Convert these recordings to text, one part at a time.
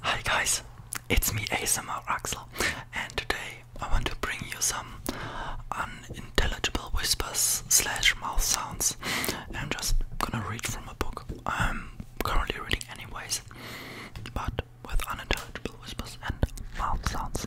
Hi guys, it's me ASMR Axel, and today I want to bring you some unintelligible whispers slash mouth sounds. I'm just gonna read from a book I'm currently reading, anyways, but with unintelligible whispers and mouth sounds.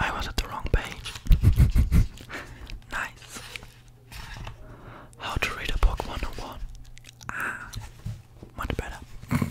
I was at the wrong page. nice. How to read a book 101. Ah, much better.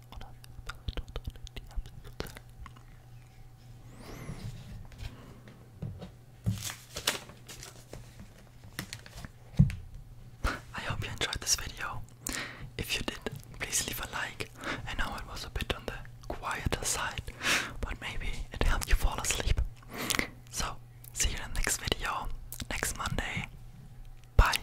I hope you enjoyed this video. If you did, please leave a like. I know it was a bit on the quieter side, but maybe it helped you fall asleep. So, see you in the next video, next Monday. Bye!